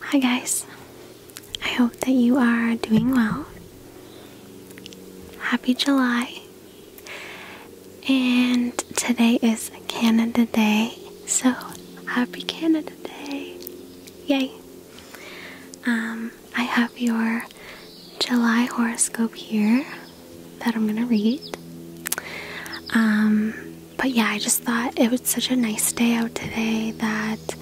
Hi, guys. I hope that you are doing well. Happy July. And today is Canada Day, so happy Canada Day. Yay! Um, I have your July horoscope here that I'm gonna read. Um, but yeah, I just thought it was such a nice day out today that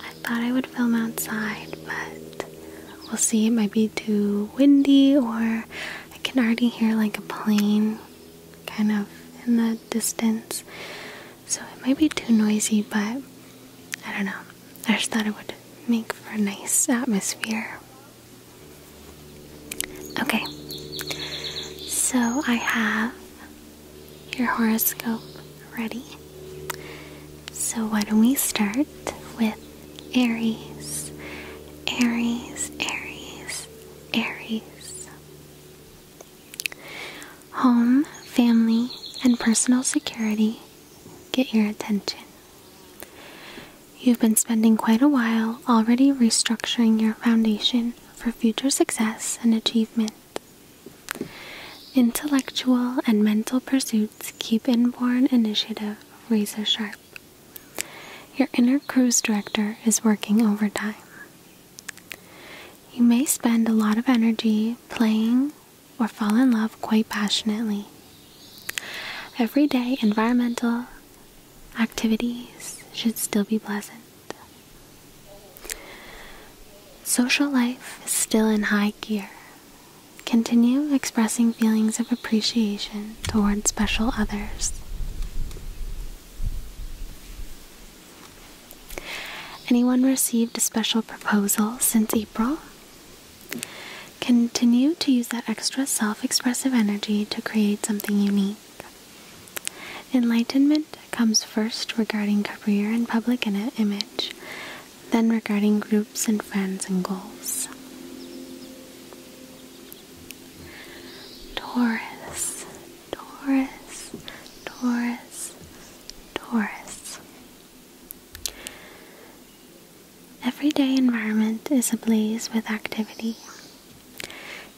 I thought I would film outside, but we'll see. It might be too windy, or I can already hear like a plane kind of in the distance so it might be too noisy, but I don't know. I just thought it would make for a nice atmosphere. Okay, so I have your horoscope ready. So, why don't we start with Aries? Aries, Aries, Aries. Home, family, and personal security get your attention. You've been spending quite a while already restructuring your foundation for future success and achievement. Intellectual and mental pursuits keep inborn initiative razor sharp. Your inner cruise director is working overtime. You may spend a lot of energy playing or fall in love quite passionately. Everyday environmental activities should still be pleasant. Social life is still in high gear. Continue expressing feelings of appreciation toward special others. Anyone received a special proposal since April? Continue to use that extra self expressive energy to create something unique. Enlightenment comes first regarding career and public image, then regarding groups and friends and goals. Taurus, Taurus, Taurus, Taurus. Everyday environment is ablaze with activity.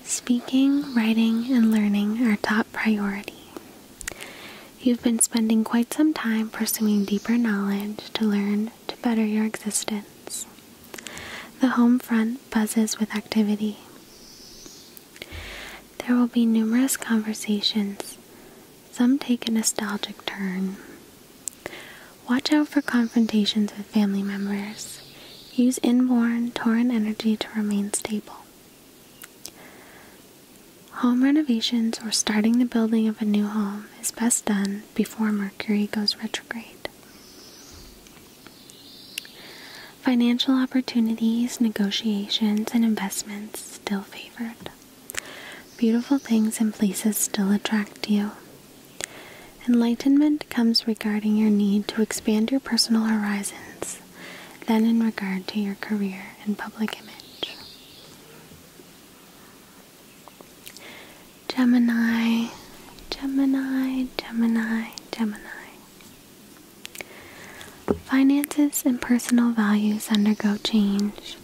Speaking, writing, and learning are top priority. You've been spending quite some time pursuing deeper knowledge to learn to better your existence. The home front buzzes with activity. There will be numerous conversations. Some take a nostalgic turn. Watch out for confrontations with family members. Use inborn Tauran energy to remain stable. Home renovations or starting the building of a new home is best done before Mercury goes retrograde financial opportunities, negotiations, and investments still favored. Beautiful things and places still attract you. Enlightenment comes regarding your need to expand your personal horizons, then in regard to your career and public image. Gemini, Gemini, Gemini, Gemini. Finances and personal values undergo change.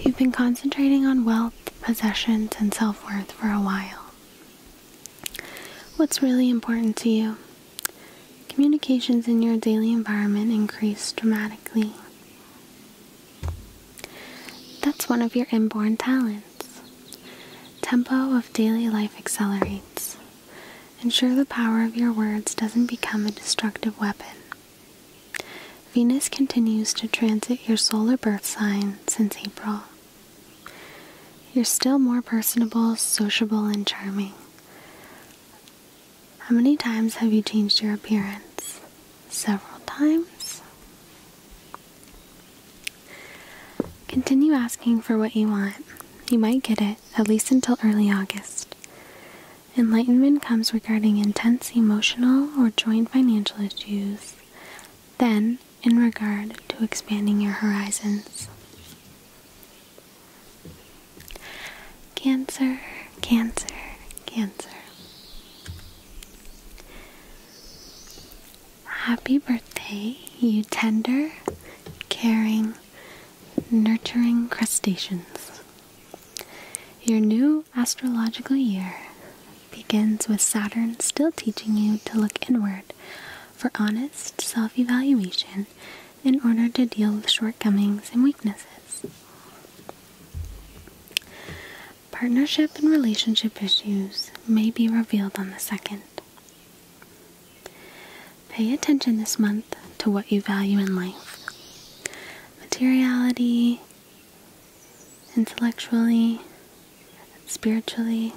You've been concentrating on wealth, possessions, and self worth for a while. What's really important to you? Communications in your daily environment increase dramatically. That's one of your inborn talents. Tempo of daily life accelerates. Ensure the power of your words doesn't become a destructive weapon. Venus continues to transit your solar birth sign since April. You're still more personable, sociable, and charming. How many times have you changed your appearance? Several times? Continue asking for what you want. You might get it, at least until early August. Enlightenment comes regarding intense emotional or joint financial issues, then in regard to expanding your horizons. Cancer, cancer, cancer. Happy birthday, you tender, caring, nurturing crustaceans. Your new astrological year begins with Saturn still teaching you to look inward for honest self evaluation in order to deal with shortcomings and weaknesses. Partnership and relationship issues may be revealed on the second. Pay attention this month to what you value in life materiality, intellectually, spiritually,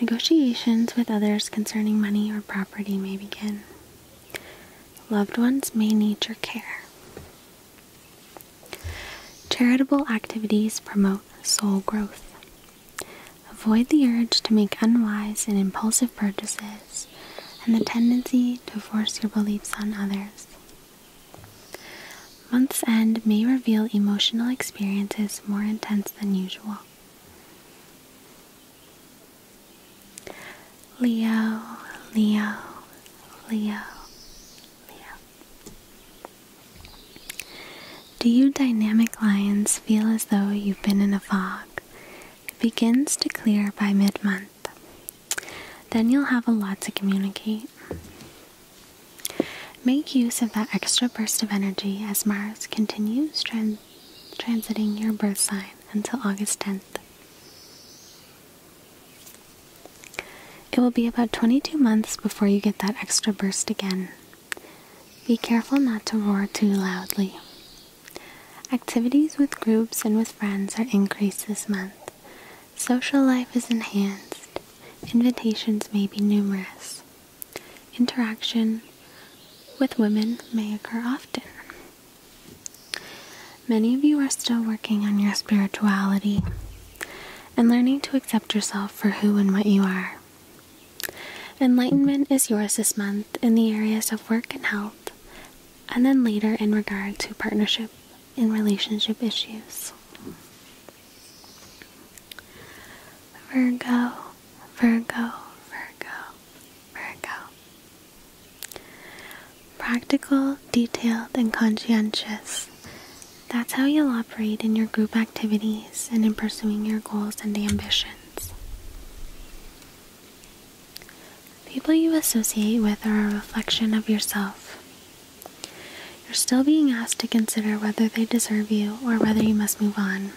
negotiations with others concerning money or property may begin. Loved ones may need your care. Charitable activities promote soul growth. Avoid the urge to make unwise and impulsive purchases and the tendency to force your beliefs on others. Month's end may reveal emotional experiences more intense than usual. Leo, Leo, Leo, Leo. Do you dynamic lions feel as though you've been in a fog? It begins to clear by mid month. Then you'll have a lot to communicate. Make use of that extra burst of energy as Mars continues transiting your birth sign until August 10th. It will be about 22 months before you get that extra burst again. Be careful not to roar too loudly. Activities with groups and with friends are increased this month. Social life is enhanced. Invitations may be numerous. Interaction with women may occur often. Many of you are still working on your spirituality and learning to accept yourself for who and what you are. Enlightenment is yours this month in the areas of work and health, and then later in regard to partnership and relationship issues. Virgo, Virgo, Virgo, Virgo. Practical, detailed, and conscientious. That's how you'll operate in your group activities and in pursuing your goals and ambitions. People you associate with are a reflection of yourself. You're still being asked to consider whether they deserve you or whether you must move on.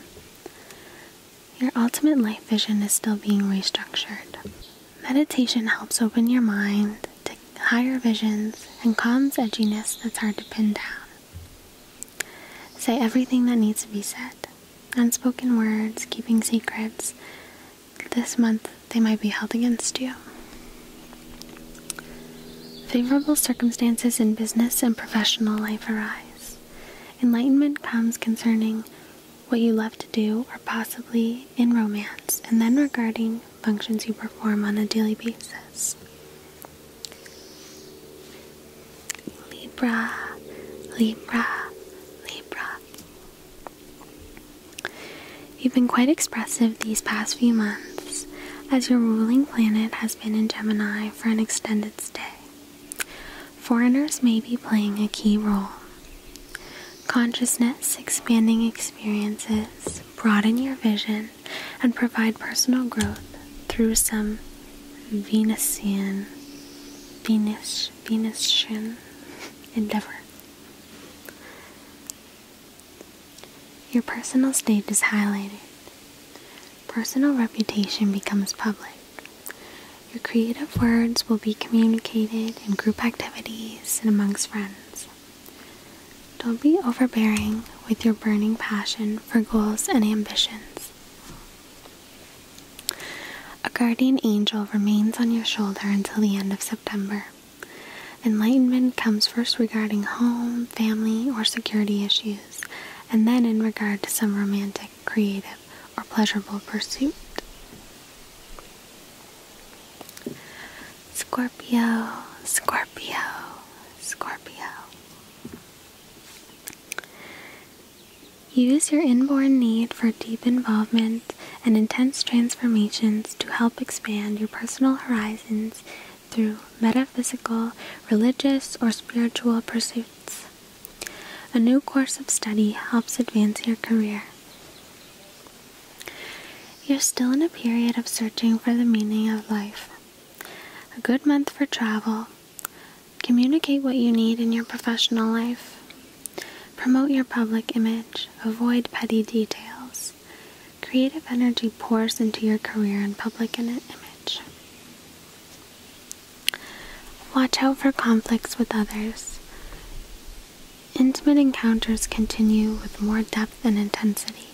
Your ultimate life vision is still being restructured. Meditation helps open your mind to higher visions and calms edginess that's hard to pin down. Say everything that needs to be said. Unspoken words, keeping secrets. This month, they might be held against you. Favorable circumstances in business and professional life arise. Enlightenment comes concerning what you love to do or possibly in romance, and then regarding functions you perform on a daily basis. Libra, Libra, Libra. You've been quite expressive these past few months, as your ruling planet has been in Gemini for an extended stay. Foreigners may be playing a key role, Consciousness expanding experiences broaden your vision and provide personal growth through some Venusian, Venus, Venusian endeavor. Your personal state is highlighted. Personal reputation becomes public. Your creative words will be communicated in group activities and amongst friends. Don't be overbearing with your burning passion for goals and ambitions. A guardian angel remains on your shoulder until the end of September. Enlightenment comes first regarding home, family, or security issues, and then in regard to some romantic, creative, or pleasurable pursuit. Scorpio, Scorpio, Scorpio. Use your inborn need for deep involvement and intense transformations to help expand your personal horizons through metaphysical, religious, or spiritual pursuits. A new course of study helps advance your career. You're still in a period of searching for the meaning of life. A good month for travel. Communicate what you need in your professional life. Promote your public image. Avoid petty details. Creative energy pours into your career and public image. Watch out for conflicts with others. Intimate encounters continue with more depth and intensity.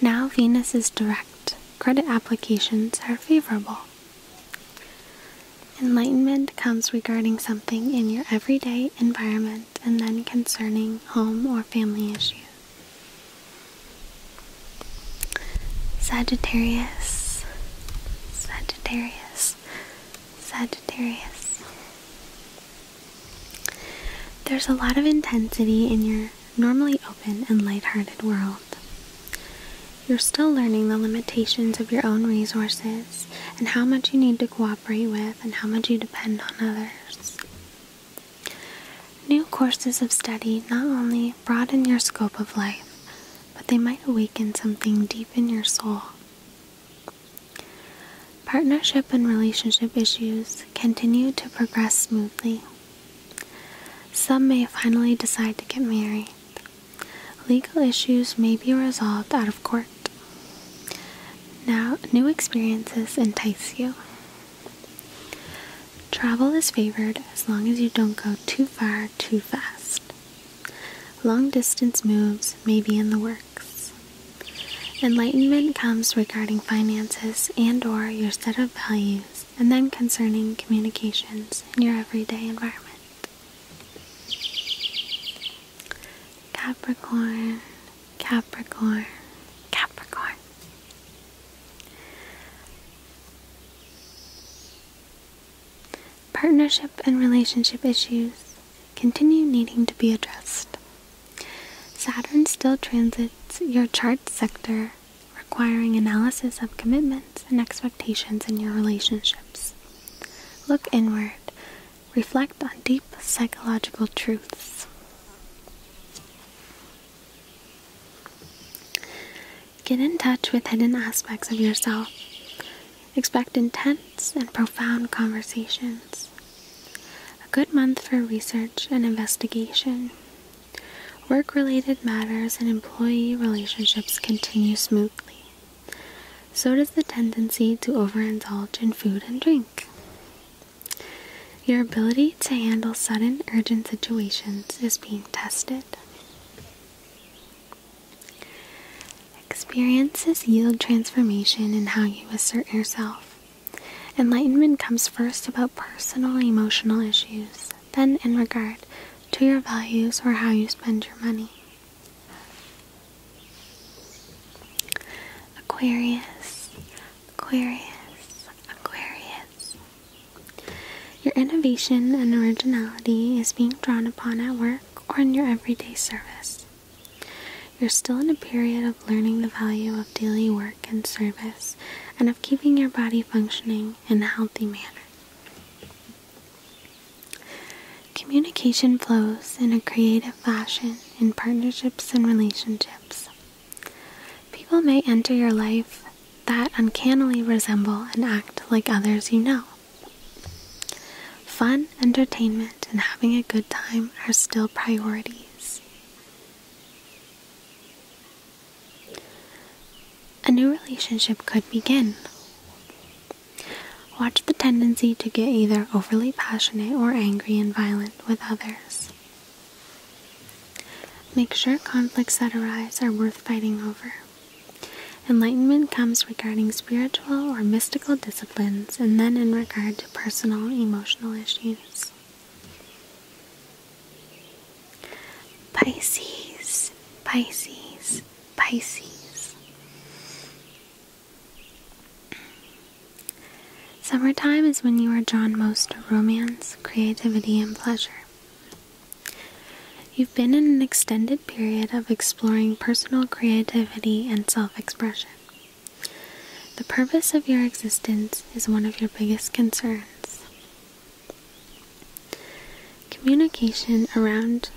Now Venus is direct, credit applications are favorable. Enlightenment comes regarding something in your everyday environment and then concerning home or family issues. Sagittarius, Sagittarius, Sagittarius. There's a lot of intensity in your normally open and light-hearted world. You're still learning the limitations of your own resources and how much you need to cooperate with and how much you depend on others. New courses of study not only broaden your scope of life, but they might awaken something deep in your soul. Partnership and relationship issues continue to progress smoothly. Some may finally decide to get married. Legal issues may be resolved out of court. Now, new experiences entice you. Travel is favored as long as you don't go too far too fast. Long distance moves may be in the works. Enlightenment comes regarding finances and or your set of values and then concerning communications in your everyday environment. Capricorn, Capricorn, Capricorn partnership and relationship issues continue needing to be addressed. Saturn still transits your chart sector, requiring analysis of commitments and expectations in your relationships. Look inward, reflect on deep psychological truths. Get in touch with hidden aspects of yourself. Expect intense and profound conversations. A good month for research and investigation. Work related matters and employee relationships continue smoothly. So does the tendency to overindulge in food and drink. Your ability to handle sudden urgent situations is being tested. Experiences yield transformation in how you assert yourself. Enlightenment comes first about personal emotional issues, then in regard to your values or how you spend your money. Aquarius, Aquarius, Aquarius. Your innovation and originality is being drawn upon at work or in your everyday service. You're still in a period of learning the value of daily work and service and of keeping your body functioning in a healthy manner. Communication flows in a creative fashion in partnerships and relationships. People may enter your life that uncannily resemble and act like others you know. Fun, entertainment, and having a good time are still priorities. A new relationship could begin. Watch the tendency to get either overly passionate or angry and violent with others. Make sure conflicts that arise are worth fighting over. Enlightenment comes regarding spiritual or mystical disciplines and then in regard to personal emotional issues. Pisces, Pisces, Pisces. Summertime is when you are drawn most to romance, creativity, and pleasure. You've been in an extended period of exploring personal creativity and self expression. The purpose of your existence is one of your biggest concerns. Communication around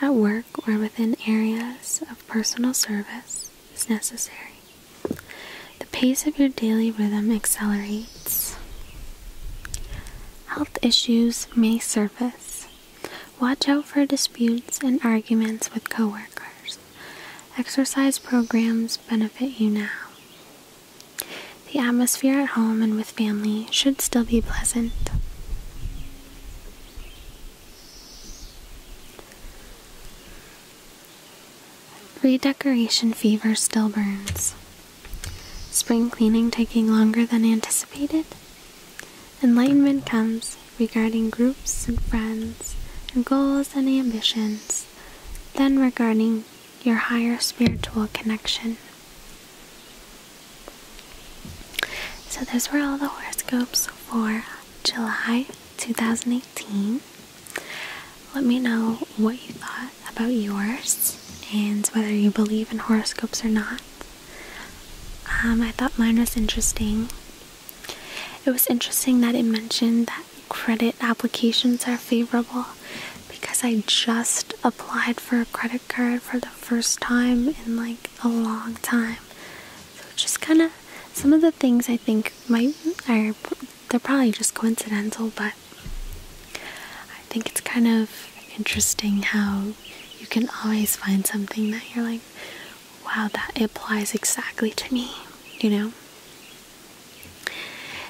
at work or within areas of personal service is necessary. The pace of your daily rhythm accelerates Health issues may surface. Watch out for disputes and arguments with coworkers. Exercise programs benefit you now. The atmosphere at home and with family should still be pleasant. Redecoration fever still burns. Spring cleaning taking longer than anticipated. Enlightenment comes regarding groups and friends goals and ambitions, then regarding your higher spiritual connection. So, those were all the horoscopes for July 2018. Let me know what you thought about yours and whether you believe in horoscopes or not. Um, I thought mine was interesting. It was interesting that it mentioned that credit applications are favorable because I just applied for a credit card for the first time in like a long time. So just kind of some of the things I think might are they're probably just coincidental, but I think it's kind of interesting how you can always find something that you're like, wow, that applies exactly to me, you know?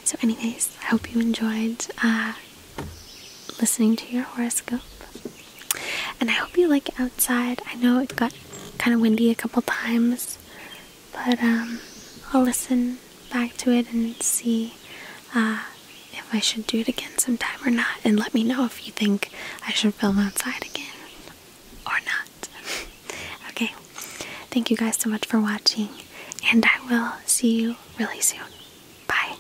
So, anyways, I hope you enjoyed uh, listening to your horoscope. And I hope you like outside. I know it got kind of windy a couple times but um, I'll listen back to it and see uh, if I should do it again sometime or not. And let me know if you think I should film outside again or not. okay, thank you guys so much for watching, and I will see you really soon. Bye.